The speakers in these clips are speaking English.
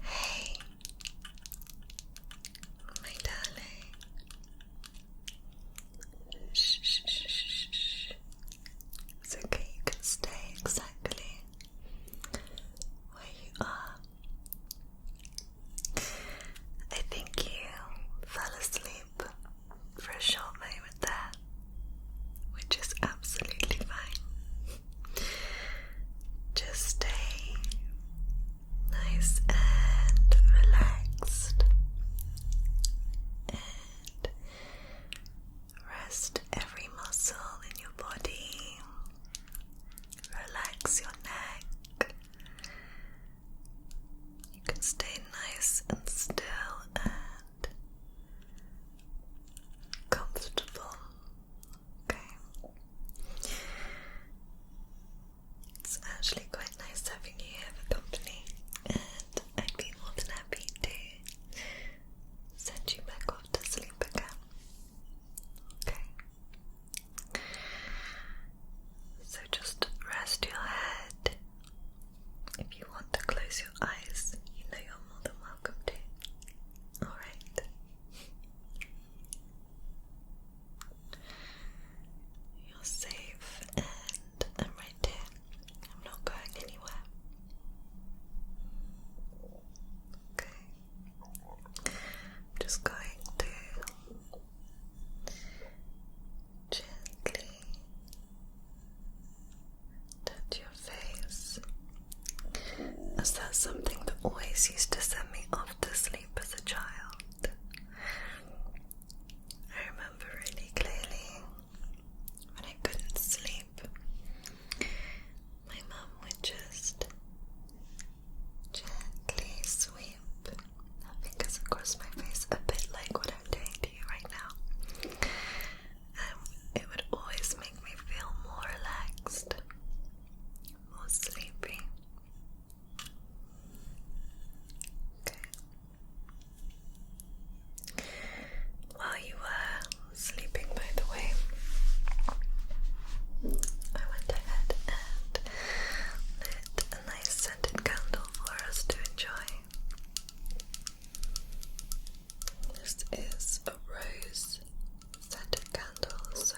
Hey, my darling. Shh, shh, shh, shh, It's okay, you can stay exactly where you are. I think you fell asleep for a short moment there, which is absolutely fine. Just stay nice and relaxed and rest every muscle in your body. Relax your neck. You can stay nice and still and comfortable. Okay. It's actually quite nice having you here for company, and I'd be more than happy to send you back off to sleep again. Okay. So just rest your head if you want to close your eyes, you know you're more than welcome to. Alright. You're safe and I'm right here. I'm not going anywhere. Okay. I'm just going to gently Touch your face. Is that something that always used to send me off to sleep as a child? I remember really clearly when I couldn't sleep, my mum would just gently sweep across my face, a bit like what I'm doing to you right now it would always make me feel more relaxed, more sleepy. While you were sleeping, by the way, I went ahead and lit a nice scented candle for us to enjoy. This is a rose scented candle, so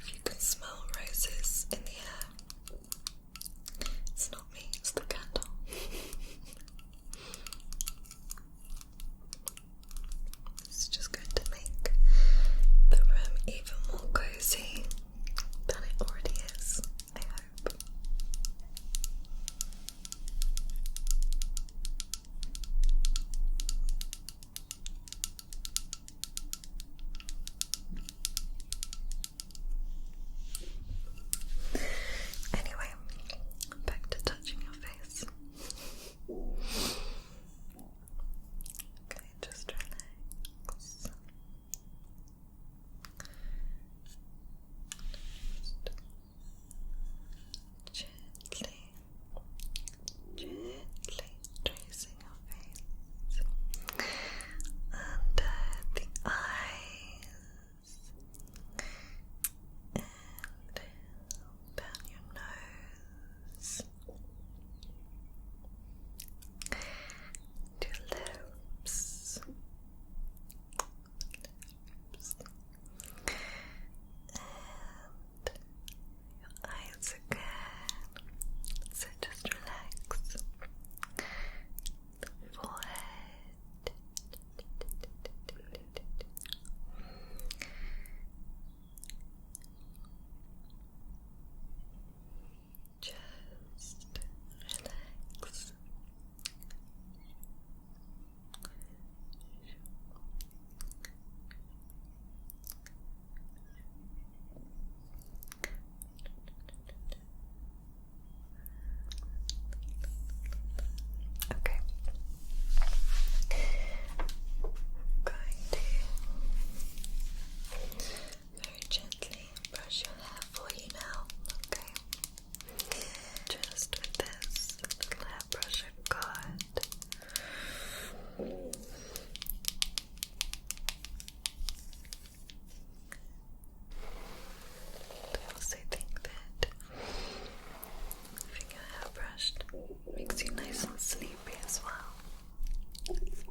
if you can smell roses in the air, it's not me, it's the candle. it's just going to make the room even more cozy than it already is, Anyway, back to touching your face. Okay, just relax. Just gently, gently tracing your face under the eyes and down your nose to your lips and eyes again. So just relax. The forehead. Just relax. Okay. I'm going to very gently brush your hair for you now, okay? Just with this little hairbrush of have got. I also think that having your makes you nice and sleepy as well. What do you think?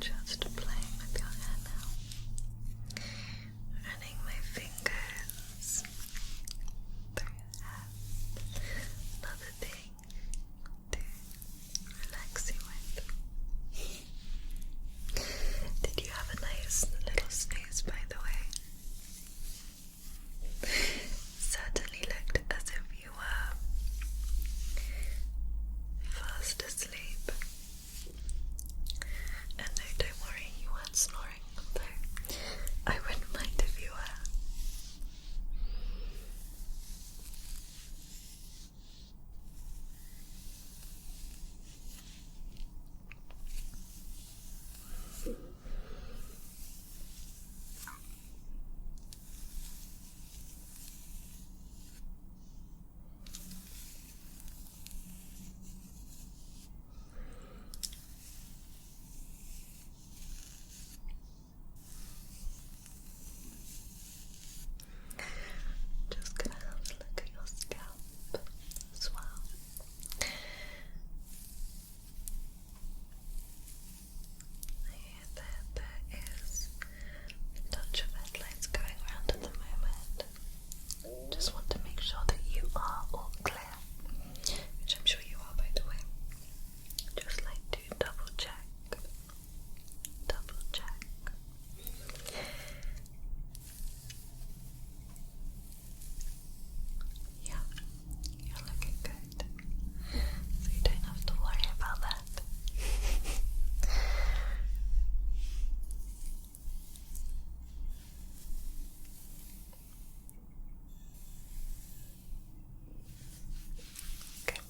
Just playing with your hair now. Running my fingers through your Another thing to relax you with. Did you have a nice little snooze, by the way? certainly looked as if you were fast asleep. And don't worry, you weren't snoring, though I wouldn't mind if you were. Just gonna look at your scalp as well. There, there, there is a touch of headlights going around at the moment. Just want to make sure that you are all clear, which I'm sure you are, by the way. Just like to double check, double check. Yeah, you're looking good. So you don't have to worry about that. Okay,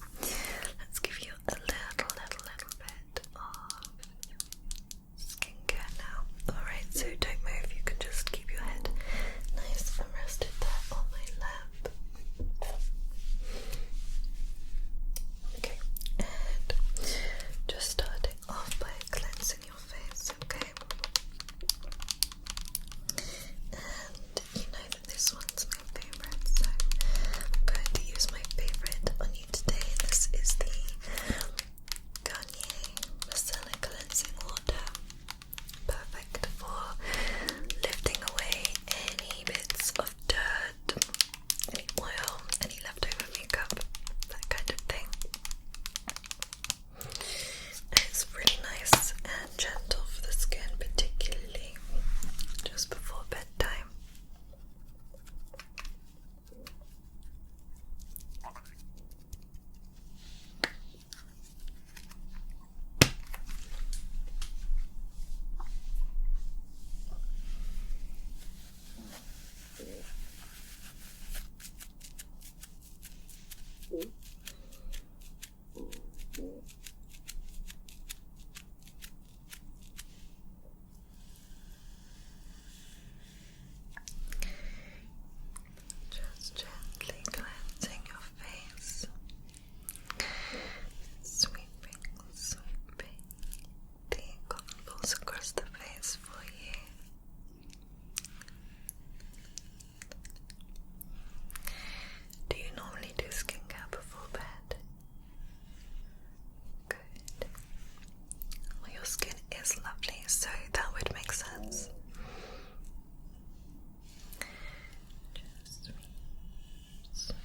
let's give you a little, little, little bit of skincare now. Alright, so don't move, you can just keep your head nice and rested there on my lap. Okay, and just starting off by cleansing your face, okay? And you know that this one's my favourite, so I'm going to use my favourite on you today. This is the Garnier Micellar Cleansing Water. Perfect for lifting away any bits of dirt, any oil, any leftover makeup, that kind of thing. It's really nice and gentle for the skin, particularly just before bedtime. Just gently glancing your face sweeping, sweeping the contours across the face for you. Do you normally do skincare before bed? Good. Well, your skin is lovely, so that would make sense. Just sweep,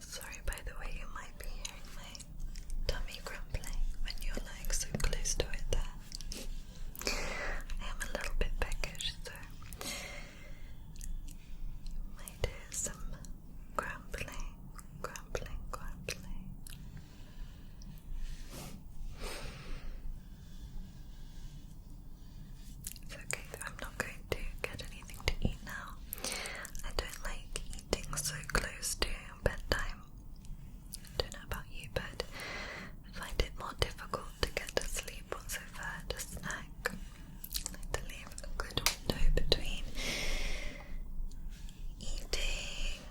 Sorry, by the way, you might be hearing my tummy grumbling when you're like so close to it. There, I am a little bit peckish, so might hear some grumbling, grumbling, grumbling. It's okay, I'm not going to get anything to eat now. I don't like eating so close to bedtime. I don't know about you, but I find it more difficult to get to sleep once I've had a snack. like to leave a good window between eating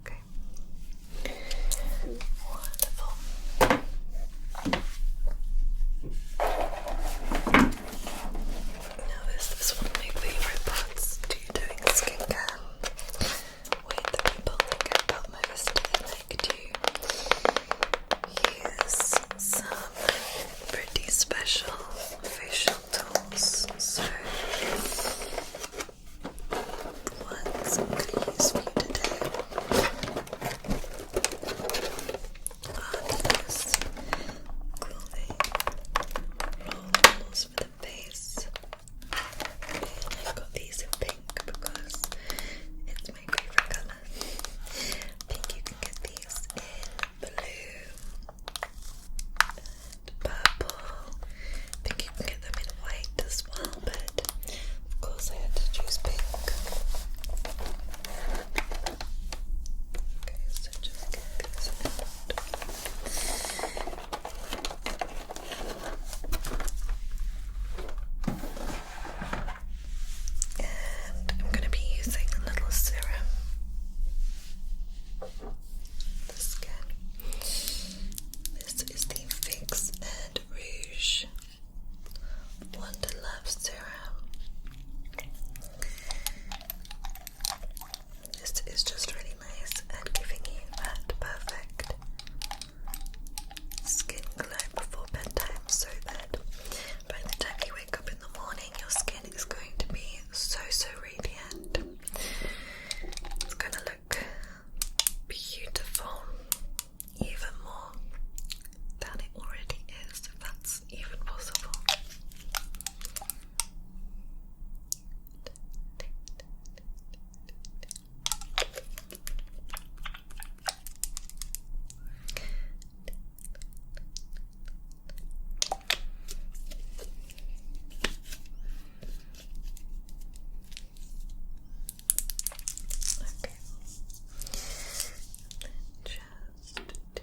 Okay. Wonderful. Now this is one of my favourite parts to doing skincare. When people think about most of the use some pretty special facial tools. So, ones I'm going to use for you today are these clothing rolls for the face. i got these in pink because it's my favorite color. I think you can get these in blue and purple. think you can get them in white as well, but of course I had to choose pink. Okay, so just get these and I'm going to be using a little serum the skin. This is the Fix and Rouge Wonder Love Serum. This is just really nice at giving you that perfect skin glow before bedtime so that by the time you wake up in the morning, your skin is going to be so so radiant. It's going to look beautiful, even more than it already is, if that's even possible. Okay. And just to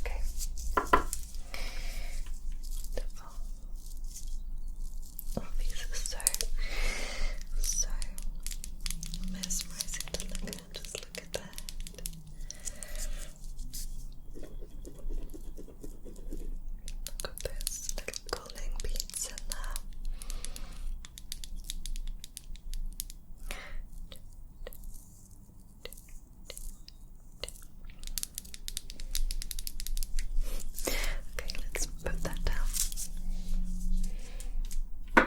Okay. Wonderful. Oh, these are so mesmerizing to look at. Just look at that. Look at this little cooling beads in there. Okay, let's put that down. Now,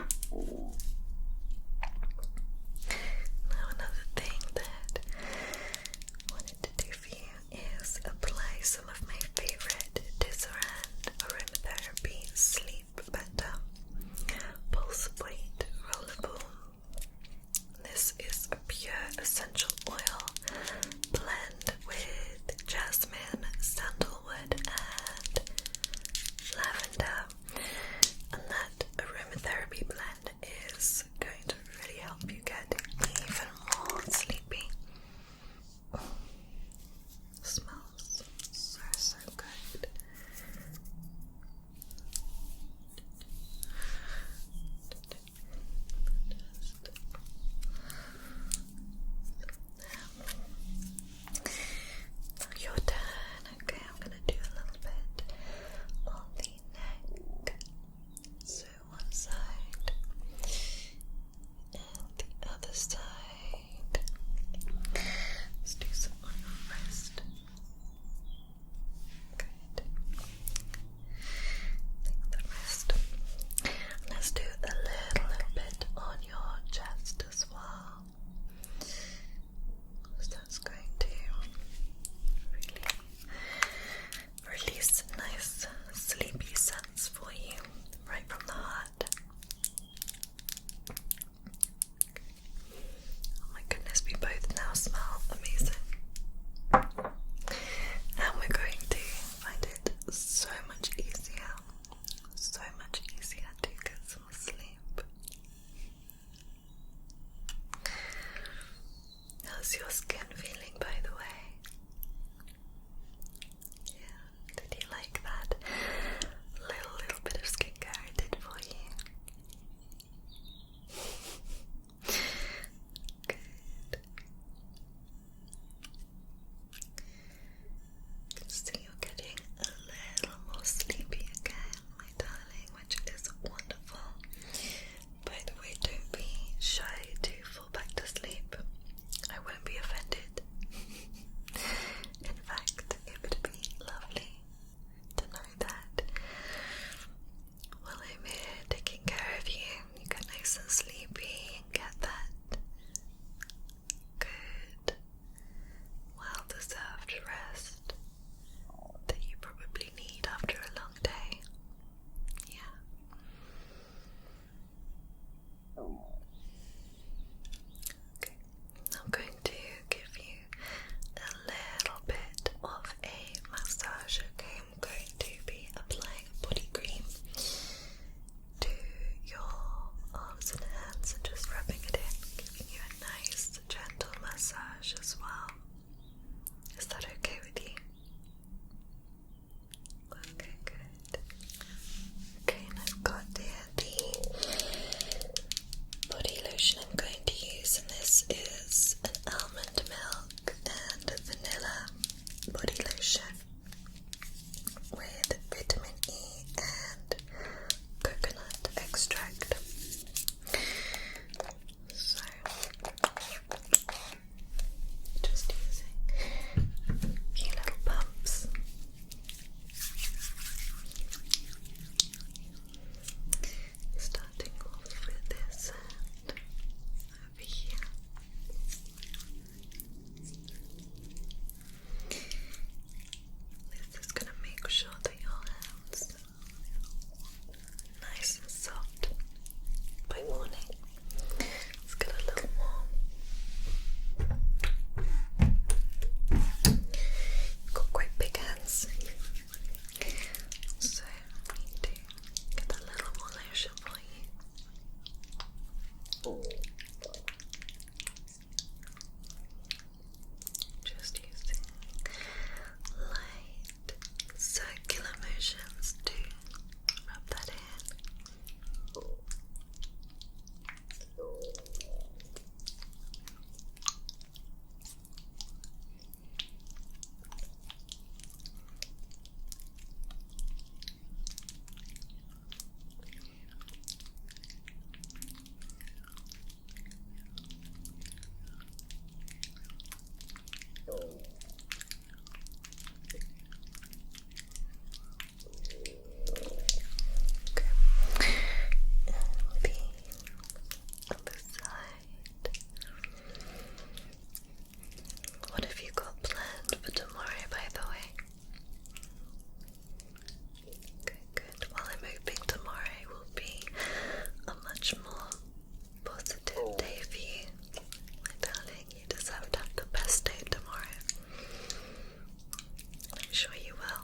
another thing that I wanted to do for you is apply some of my favorite Disaronn aromatherapy sleep better pulse weight roller balm this is a pure essential oil blend with jasmine, sandalwood, and lavender. And that aromatherapy blend is going to really help you get even more sleepy. smells so so good. Your turn. Okay, I'm gonna do a little bit on the neck. So one side and the other side. Let's do some on your wrist the rest. Let's do a little, bit on your chest as well. that's going to really release nice sleepy sense for you right from the heart. Oh my goodness, we both now smell amazing. And we're going to find it so much easier, so much easier to get some sleep. How's your skin feeling, by the way? Yeah, did you like that little little bit of skincare I did for you? Good. So you're getting a little more sleepy again, my darling, which is wonderful. By the way, don't be shy to fall back to sleep. I won't be offended. In fact, it would be lovely to know that while I'm here taking care of you, you get nice and sleepy and get that good, well deserved rest that you probably need after a long day. Yeah. Oh. Okay. I'm going to give you a little bit of a massage, okay? I'm going to be applying body cream to your arms and hands and just rubbing it in, giving you a nice gentle massage as well. Is that okay with you? Okay, good. Okay, and I've got there the body lotion. I'm going to use in this is an almond milk and vanilla body lotion with vitamin E and coconut extract. So, just using a few little pumps starting off with this over here. This is going to make sure that your hands nice and soft by morning. Let's get a little warm. got quite big hands. So I need get a little more lotion for you. Just using light circular motions to rub that in. Okay. L B what have you got planned for tomorrow, by the way? Good, Well, I'm hoping tomorrow will be a much more positive oh. day for you. darling, you deserve to have the best day tomorrow. I'm sure you will.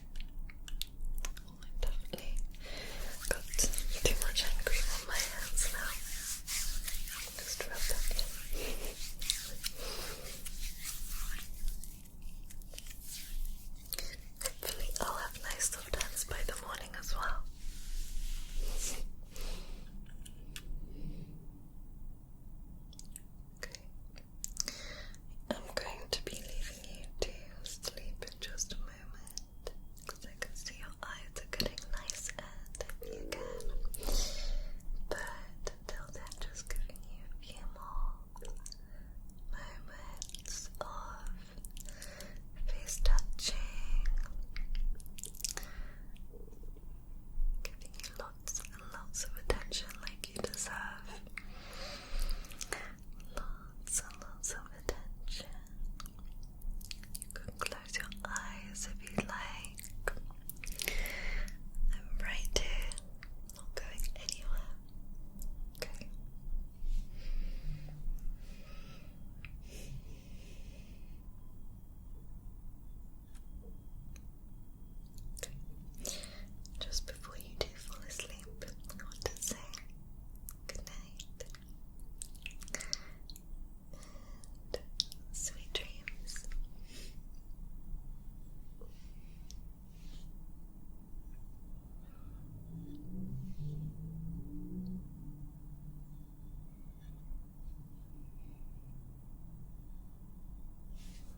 i definitely got too much hand cream on my hands now. Just rub that in. Hopefully, I'll have nice soft hands by the morning as well. I'm going to be leaving you to sleep in just a moment because I can see your eyes are getting nice and you can. But until then, just giving you a few more moments of face touching, giving you lots and lots of attention like you deserve. Lots and lots of attention. You can close your eyes if you like. I'm right here, not going anywhere. Okay. Just before you do fall asleep, I want to say good night and sweet dreams.